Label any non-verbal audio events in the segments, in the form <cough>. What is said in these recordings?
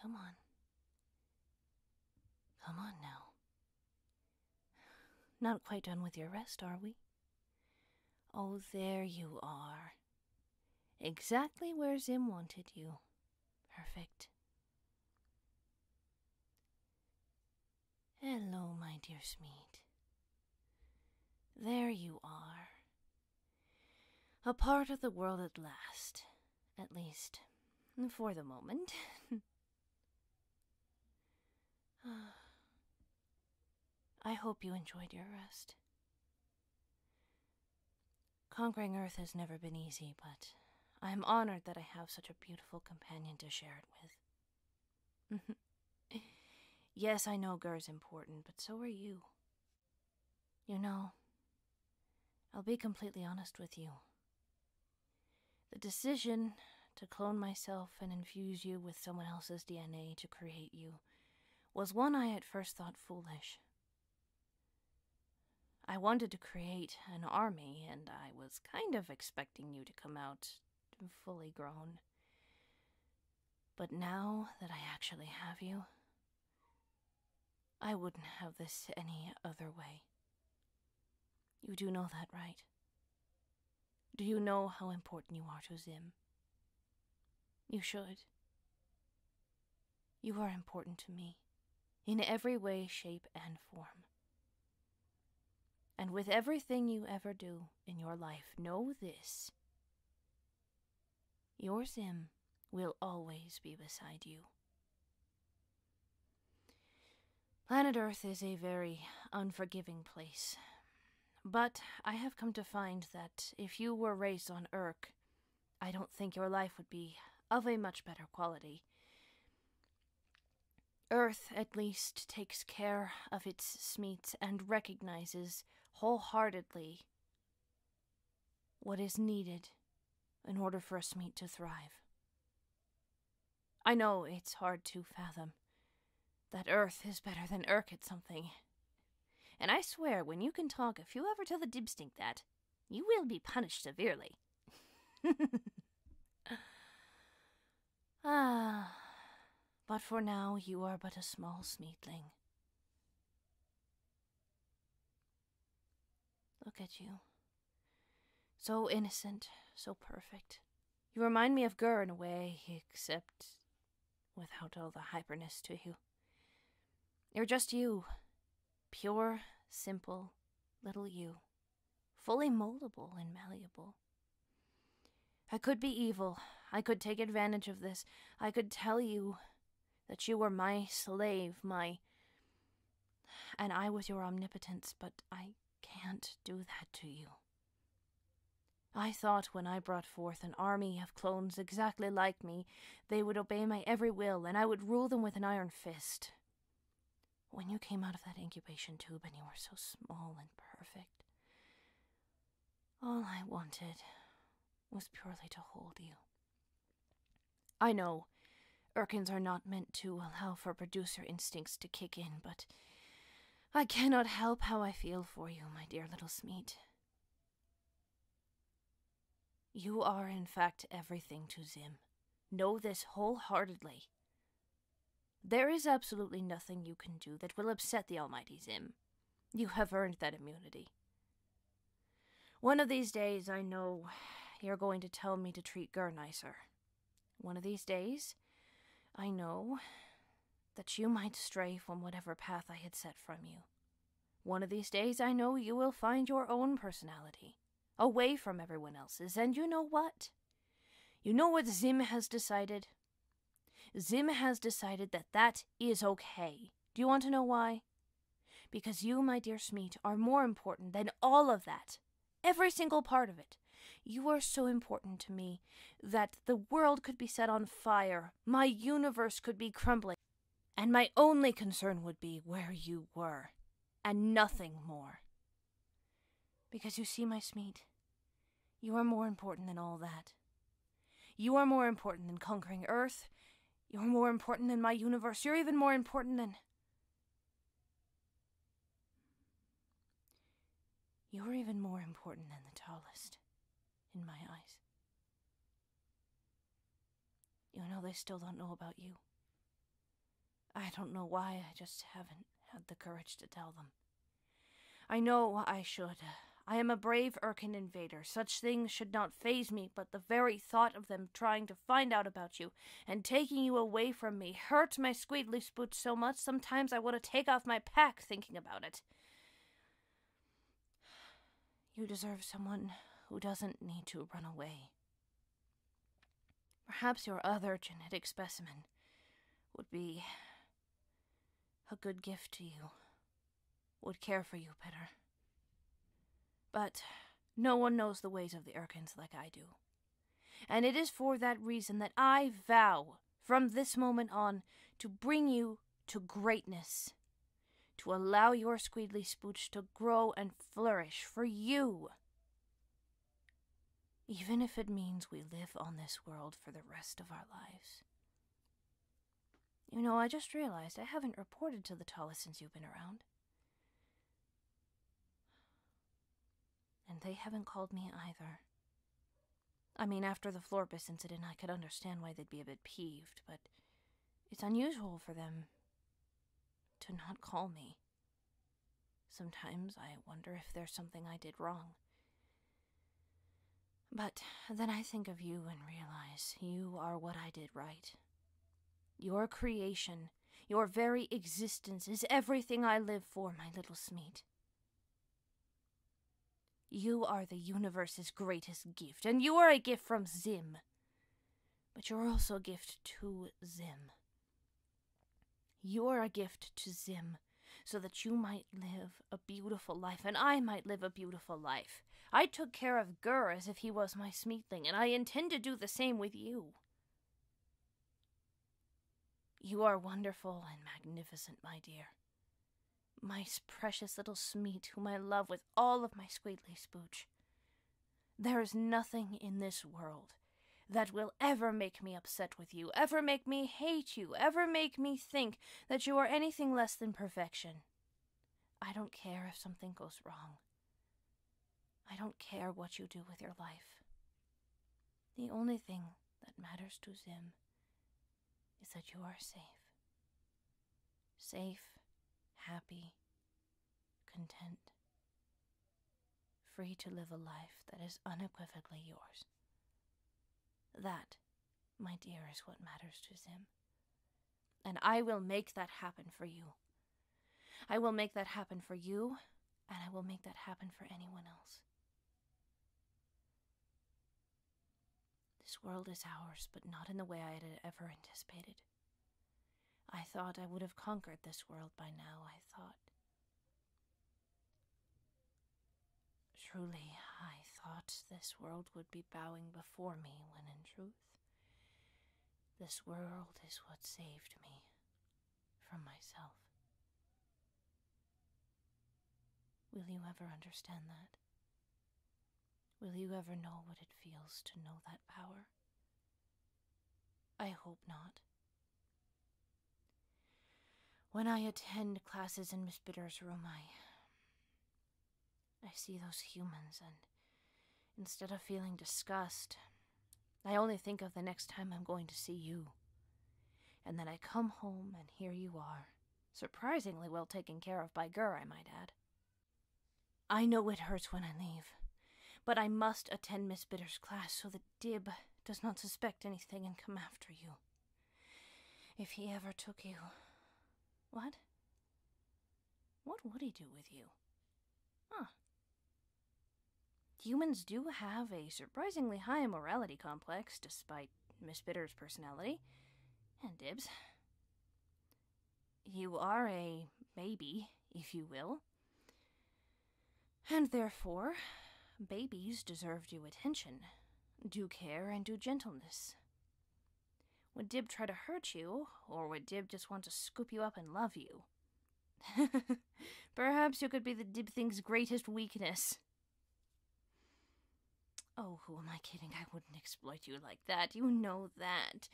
Come on. Come on now. Not quite done with your rest, are we? Oh, there you are. Exactly where Zim wanted you. Perfect. Hello, my dear Smeed. There you are. A part of the world at last, at least for the moment. <sighs> I hope you enjoyed your rest. Conquering Earth has never been easy, but I am honored that I have such a beautiful companion to share it with. <laughs> yes, I know Gur's important, but so are you. You know, I'll be completely honest with you. The decision to clone myself and infuse you with someone else's DNA to create you was one I at first thought foolish. I wanted to create an army, and I was kind of expecting you to come out fully grown. But now that I actually have you, I wouldn't have this any other way. You do know that, right? Do you know how important you are to Zim? You should. You are important to me, in every way, shape, and form. And with everything you ever do in your life, know this your Zim will always be beside you. Planet Earth is a very unforgiving place, but I have come to find that if you were raised on Urk, I don't think your life would be of a much better quality. Earth, at least, takes care of its smeets and recognizes wholeheartedly what is needed in order for us meat to thrive. I know it's hard to fathom that Earth is better than Urk at something. And I swear, when you can talk, if you ever tell the Dibstink that, you will be punished severely. <laughs> Ah, but for now you are but a small sneetling. Look at you. So innocent, so perfect. You remind me of Gur in a way, except without all the hyperness to you. You're just you. Pure, simple, little you. Fully moldable and malleable. I could be evil. I could take advantage of this. I could tell you that you were my slave, my. And I was your omnipotence, but I can't do that to you. I thought when I brought forth an army of clones exactly like me, they would obey my every will, and I would rule them with an iron fist. When you came out of that incubation tube and you were so small and perfect, all I wanted was purely to hold you. I know Urkins are not meant to allow for producer instincts to kick in, but I cannot help how I feel for you, my dear little Smeat. You are, in fact, everything to Zim. Know this wholeheartedly. There is absolutely nothing you can do that will upset the Almighty Zim. You have earned that immunity. One of these days, I know you're going to tell me to treat Gur nicer. One of these days, I know that you might stray from whatever path I had set from you. One of these days, I know you will find your own personality, away from everyone else's, and you know what? You know what Zim has decided? Zim has decided that that is okay. Do you want to know why? Because you, my dear Smeet, are more important than all of that. Every single part of it. You are so important to me that the world could be set on fire, my universe could be crumbling, and my only concern would be where you were, and nothing more. Because you see, my smite, you are more important than all that. You are more important than conquering Earth. You're more important than my universe. You're even more important than. You're even more important than the tallest, in my eyes. You know, they still don't know about you. I don't know why, I just haven't had the courage to tell them. I know I should. I am a brave Urkin invader. Such things should not faze me, but the very thought of them trying to find out about you and taking you away from me hurts my squeedly spoot so much sometimes I want to take off my pack thinking about it. You deserve someone who doesn't need to run away. Perhaps your other genetic specimen would be a good gift to you, would care for you better. But no one knows the ways of the Urkins like I do. And it is for that reason that I vow from this moment on to bring you to greatness, to allow your squeedly spooch to grow and flourish for you even if it means we live on this world for the rest of our lives. You know, I just realized I haven't reported to the Tala since you've been around. And they haven't called me either. I mean, after the Florbus incident, I could understand why they'd be a bit peeved, but it's unusual for them to not call me. Sometimes I wonder if there's something I did wrong. But then I think of you and realize you are what I did right. Your creation, your very existence is everything I live for, my little Smeet. You are the universe's greatest gift, and you are a gift from Zim. But you're also a gift to Zim. You are a gift to Zim so that you might live a beautiful life and I might live a beautiful life. I took care of Gur as if he was my smeatling, and I intend to do the same with you. You are wonderful and magnificent, my dear. My precious little Smeet, whom I love with all of my squidly spooch. There is nothing in this world that will ever make me upset with you, ever make me hate you, ever make me think that you are anything less than perfection. I don't care if something goes wrong. I don't care what you do with your life. The only thing that matters to Zim is that you are safe. Safe, happy, content, free to live a life that is unequivocally yours. That, my dear, is what matters to Zim. And I will make that happen for you. I will make that happen for you, and I will make that happen for anyone else. This world is ours, but not in the way I had ever anticipated. I thought I would have conquered this world by now, I thought. Truly, I thought this world would be bowing before me when in truth, this world is what saved me from myself. Will you ever understand that? Will you ever know what it feels to know that power? I hope not. When I attend classes in Miss Bitter's room, I. I see those humans, and instead of feeling disgust, I only think of the next time I'm going to see you. And then I come home, and here you are, surprisingly well taken care of by Gur, I might add. I know it hurts when I leave, but I must attend Miss Bitter's class so that Dib does not suspect anything and come after you. If he ever took you. What? What would he do with you? Huh. Humans do have a surprisingly high morality complex, despite Miss Bitter's personality. And Dib's. You are a baby, if you will. And therefore, babies deserve due attention, due care, and due gentleness. Would Dib try to hurt you, or would Dib just want to scoop you up and love you? <laughs> Perhaps you could be the Dib thing's greatest weakness. Oh, who am I kidding? I wouldn't exploit you like that. You know that.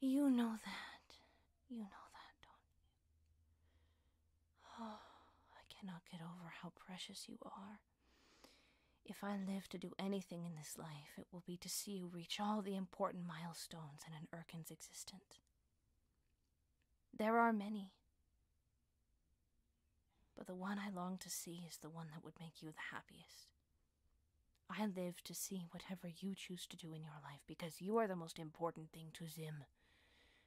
You know that. You know that, don't you? Oh, I cannot get over how precious you are. If I live to do anything in this life, it will be to see you reach all the important milestones in an Urkin's existence. There are many, but the one I long to see is the one that would make you the happiest. I live to see whatever you choose to do in your life because you are the most important thing to Zim.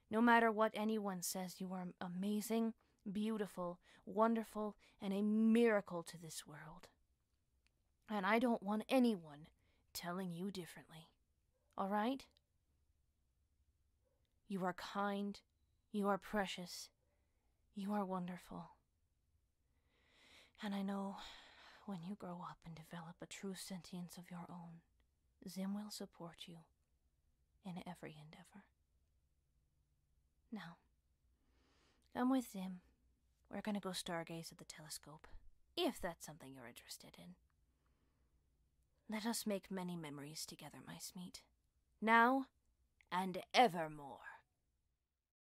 No matter what anyone says, you are amazing, beautiful, wonderful, and a miracle to this world. And I don't want anyone telling you differently. All right? You are kind. You are precious. You are wonderful. And I know when you grow up and develop a true sentience of your own, Zim will support you in every endeavor. Now, come with Zim. We're going to go stargaze at the telescope, if that's something you're interested in. Let us make many memories together, my Smeet. Now and evermore.